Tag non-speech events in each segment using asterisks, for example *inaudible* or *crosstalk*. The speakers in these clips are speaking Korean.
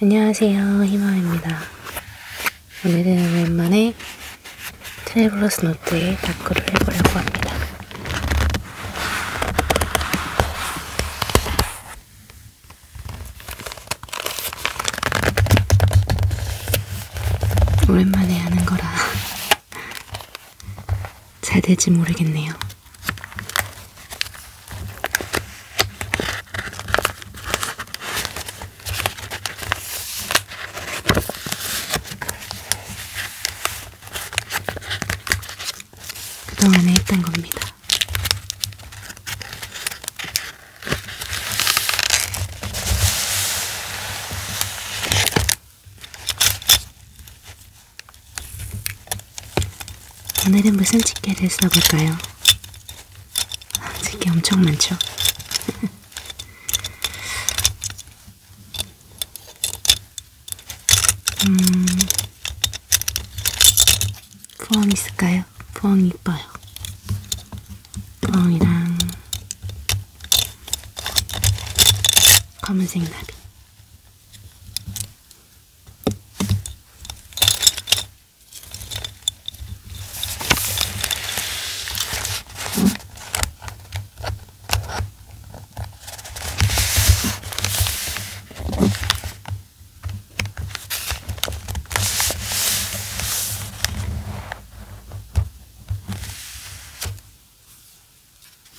안녕하세요. 희망입니다. 오늘은 오랜만에 트래블러스 노트에 다크를 해보려고 합니다. 오랜만에 하는 거라 *laughs* 잘 될지 모르겠네요. 그동안에 했던 겁니다. 오늘은 무슨 집게를 써볼까요? 집게 엄청 많죠? *laughs* 음, 부엉이 있을까요? 부엉이 이뻐요. 부엉이랑 검은색 나비.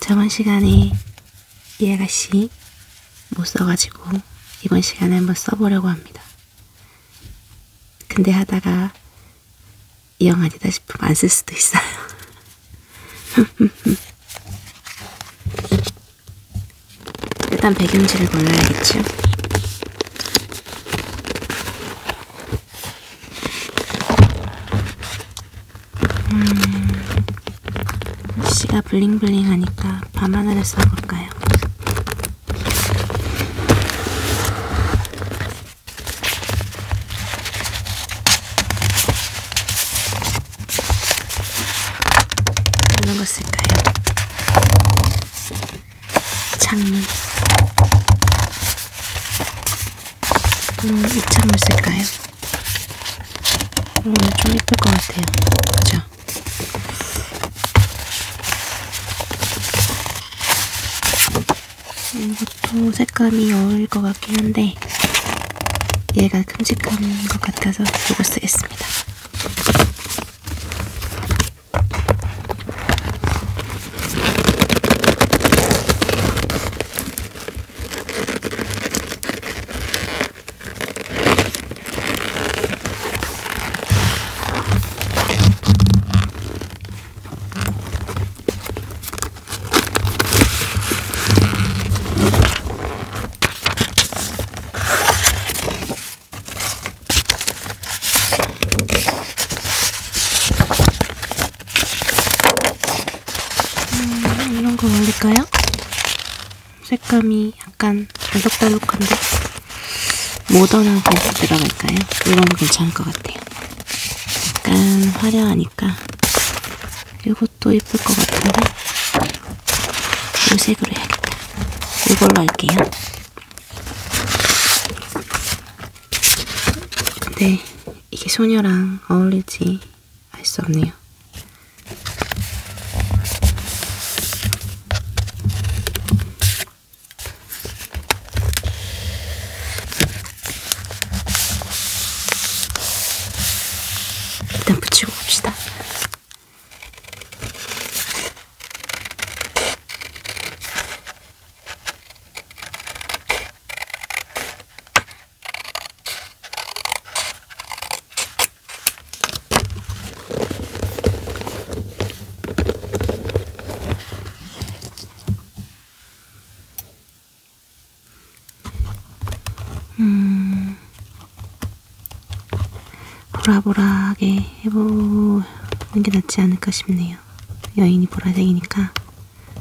저번 시간에 이래가씨 못 써가지고 이번 시간에 한번 써보려고 합니다. 근데 하다가 이 영아니다 싶으면 안 쓸 수도 있어요. *laughs* 일단 배경지를 골라야겠죠. 음, 시가 블링블링하니까 밤하늘을 써볼까요? 이런 거 쓸까요? 창문 음, 이 창문 쓸까요? 음, 좀 예쁠 것 같아요. 그죠? 이것도 색감이 어울릴 것 같긴 한데 얘가 큼직한 것 같아서 이걸 쓰겠습니다. 음, 이런 거 올릴까요? 색감이 약간 달록달록한데 모던한 베스트라고 할까요? 이런 괜찮을 것 같아요. 약간 화려하니까 이것도 예쁠 것 같은데 이 색으로 해야겠다. 이걸로 할게요. 근데 이게 소녀랑 어울릴지 알 수 없네요. 일단 붙이고 봅시다. 음, 보라보라하게 해보는 게 낫지 않을까 싶네요. 여인이 보라색이니까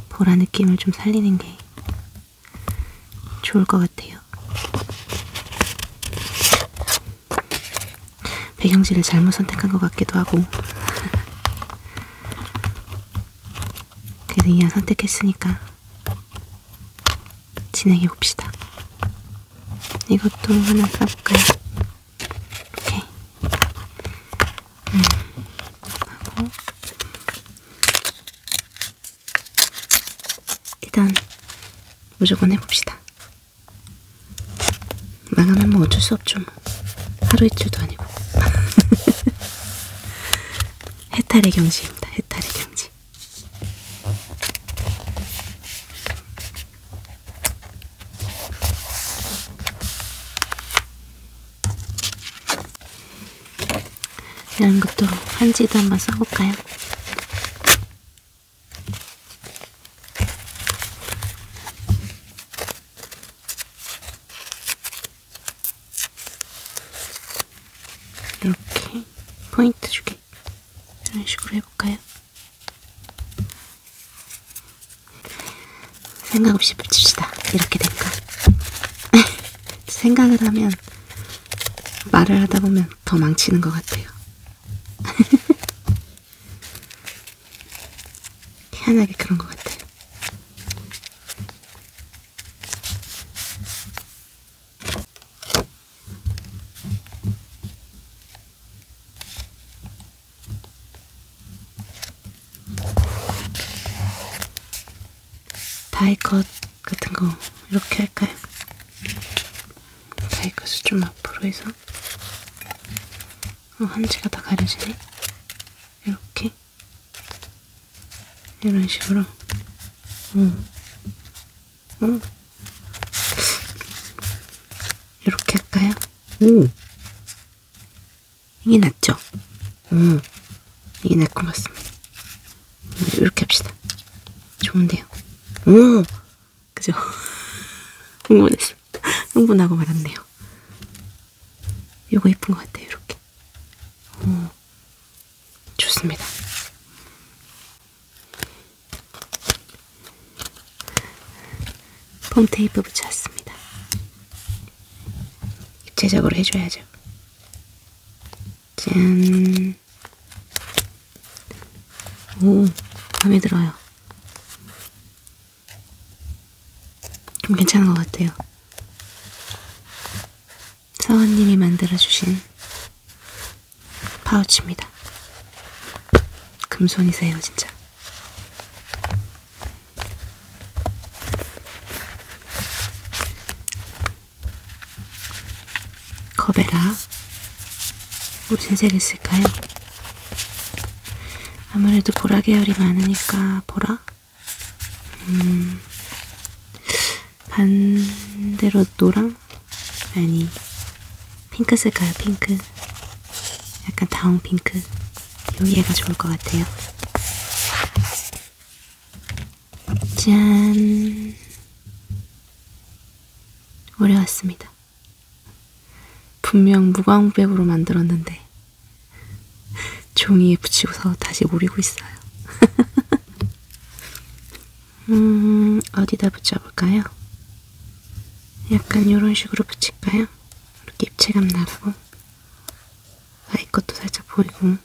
보라 느낌을 좀 살리는 게 좋을 것 같아요. 배경지를 잘못 선택한 것 같기도 하고 *laughs* 그래도 이왕 선택했으니까 진행해 봅시다. 이것도 하나 써볼까요? 오케이. 음. 하고 일단 무조건 해봅시다. 망하면 뭐 어쩔 수 없죠. 뭐. 하루 이틀도 아니고. *laughs* 해탈의 경지입니다. 해탈의 경지. 양극도로 한지도 한번 써볼까요? 이렇게 포인트 주기 이런 식으로 해볼까요? 생각 없이 붙입시다. 이렇게 될까? *laughs* 생각을 하면 말을 하다 보면 더 망치는 것 같아요. *laughs* 태연하게 그런 것 같아요. 다이컷 같은 거 이렇게 할까요? 모사이크스 좀 앞으로 해서 어, 한치가 다 가려지네. 이렇게 이런 식으로. 어. 어. 이렇게 할까요? 오. 이게 낫죠? 오. 어. 이게 나을 것 같습니다. 어, 이렇게 합시다. 좋은데요? 오. 어. 그죠? 흥분했어. *laughs* 흥분하고 말았네요. 요거 예쁜 것 같아요, 이렇게. 오, 어, 좋습니다. 폼 테이프 붙여왔습니다. 입체적으로 해줘야죠. 짠. 음. 오, 마음에 들어요. 좀 괜찮은 것 같아요. 사원님이 만들어주신 파우치입니다. 금손이세요, 진짜. 커베라 무슨 뭐 색을 쓸까요? 아무래도 보라 계열이 많으니까 보라? 음... 반대로 노랑? 아니 핑크 쓸까요? 핑크 약간 다운 핑크 요 얘가 좋을 것 같아요 짠 오래왔습니다. 분명 무광백으로 만들었는데 종이에 붙이고서 다시 오리고 있어요. *laughs* 음, 어디다 붙여볼까요? 약간 이런 식으로 붙일까요? 이렇게 입체감 나라고 아이 것도 살짝 보이고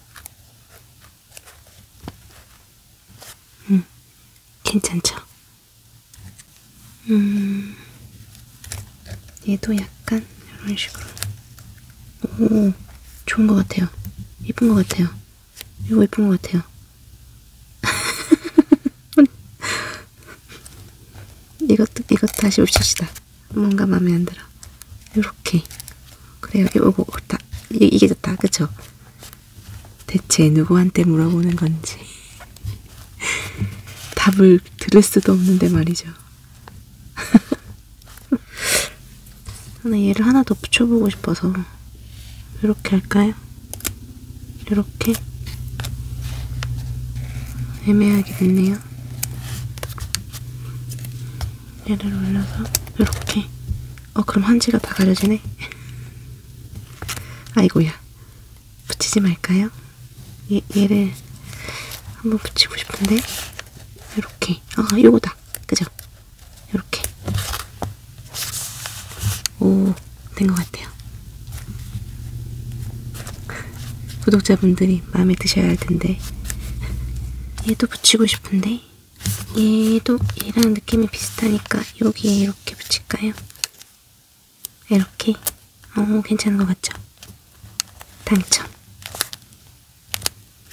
음, 괜찮죠? 음, 얘도 약간 이런 식으로. 오, 좋은 것 같아요. 예쁜 것 같아요. 이거 예쁜 것 같아요. *laughs* 이것도, 이것 다시 옵시시다. 뭔가 마음에 안 들어. 요렇게. 그래요. 요거, 다, 이게 좋다. 그쵸? 대체 누구한테 물어보는 건지 *laughs* 답을 들을 수도 없는데 말이죠. *laughs* 하나 얘를 하나 더 붙여보고 싶어서 이렇게 할까요? 이렇게 애매하게 됐네요. 얘를 올려서 이렇게. 어 그럼 한지가 다 가려지네. *laughs* 아이고야. 붙이지 말까요? 얘, 얘를 한번 붙이고 싶은데. 이렇게. 아, 요거다. 그죠? 이렇게. 오, 된 것 같아요. 구독자분들이 마음에 드셔야 할 텐데. 얘도 붙이고 싶은데. 얘도 얘랑 느낌이 비슷하니까 여기에 이렇게 붙일까요? 이렇게? 어, 괜찮은 것 같죠? 당첨.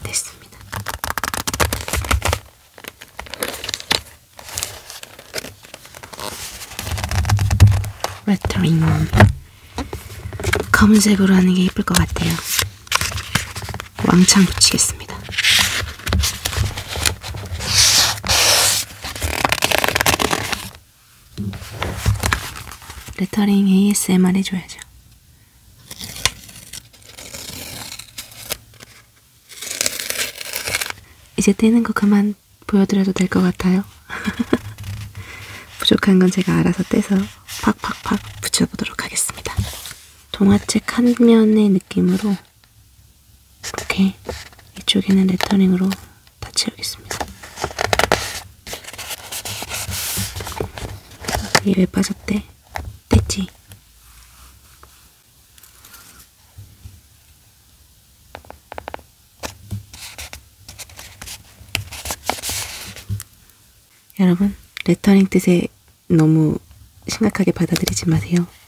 됐습니다. 레터링. 검은색으로 하는 게 예쁠 것 같아요. 왕창 붙이겠습니다. 겁니다. 레터링 ASMR 해줘야죠. 이제 떼는 거 그만 보여드려도 될 것 같아요. *laughs* 부족한 건 제가 알아서 떼서 팍팍팍 붙여보도록 하겠습니다. 동화책 한 면의 느낌으로 이렇게 이쪽에는 레터링으로 다 채우겠습니다. 이게 왜 빠졌대? 됐지? 여러분, 레터링 뜻에 너무 심각하게 받아들이지 마세요.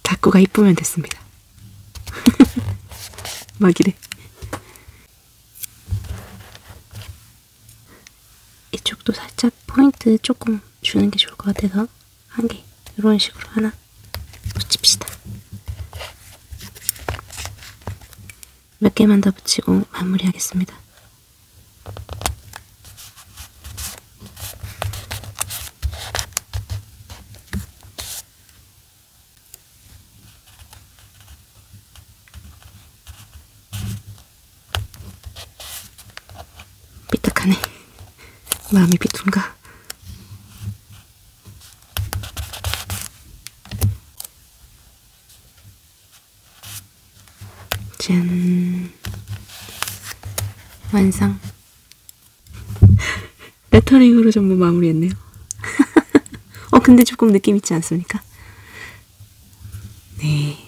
다꾸가 이쁘면 됐습니다. *laughs* 막 이래. 이쪽도 살짝 포인트 조금 주는 게 좋을 것 같아서 한 개, 이런 식으로 하나 붙입시다. 몇 개만 더 붙이고 마무리하겠습니다. 삐딱하네. 마음이 비둔가? 짠. 완성. *laughs* 레터링으로 전부 마무리했네요. *laughs* 어, 근데 조금 느낌 있지 않습니까? 네.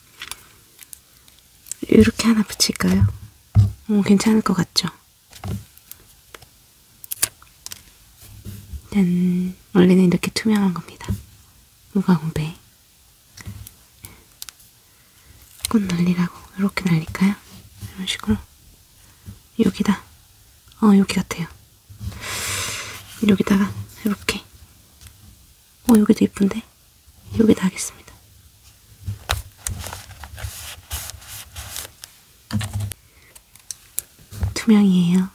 *laughs* 이렇게 하나 붙일까요? 어, 괜찮을 것 같죠? 짠. 원래는 이렇게 투명한 겁니다. 무광배. 꽃 날리라고 이렇게 날릴까요? 이런 식으로 여기다 어 여기 같아요 여기다가 이렇게 어 여기도 이쁜데 여기다 하겠습니다 투명이에요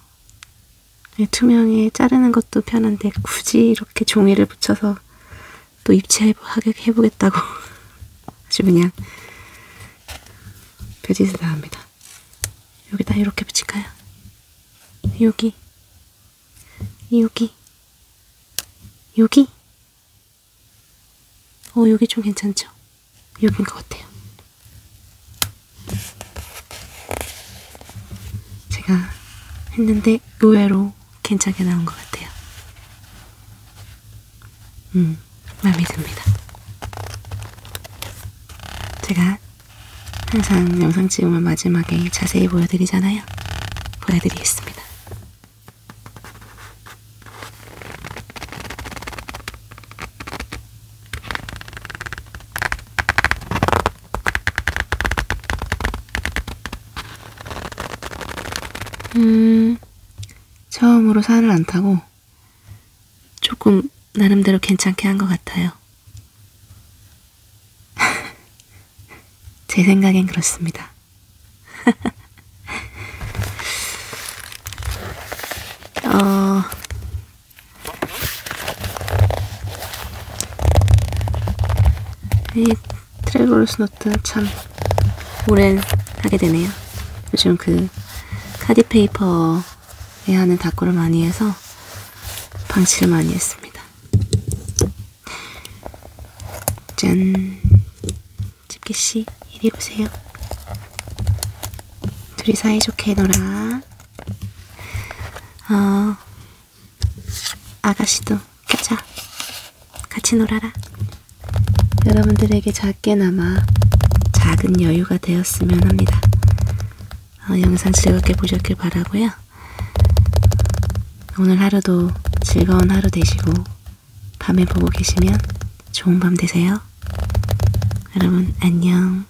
네, 투명에 자르는 것도 편한데 굳이 이렇게 종이를 붙여서 또 입체해보겠다고 *laughs* 아주 그냥 별짓을 다 합니다. 여기다 이렇게 붙일까요? 여기, 여기, 여기. 어, 여기 좀 괜찮죠? 여기인 것 같아요. 제가 했는데 의외로 괜찮게 나온 것 같아요. 음, 마음에 듭니다. 제가 항상 영상 찍으면 마지막에 자세히 보여드리잖아요. 보여드리겠습니다. 음, 처음으로 살을 안 타고 조금 나름대로 괜찮게 한 것 같아요. *laughs* 제 생각엔 그렇습니다. *laughs* 어, 이 트레블러스 노트 참 오랜 하게 되네요. 요즘 그 카디 페이퍼에 하는 다꾸를 많이 해서 방치를 많이 했습니다. 짠, 집게 씨 이리 보세요. 둘이 사이좋게 놀아. 어, 아가씨도 가자. 같이 놀아라. 여러분들에게 작게나마 작은 여유가 되었으면 합니다. 어, 영상 즐겁게 보셨길 바라고요. 오늘 하루도 즐거운 하루 되시고 밤에 보고 계시면 좋은 밤 되세요. 여러분 안녕.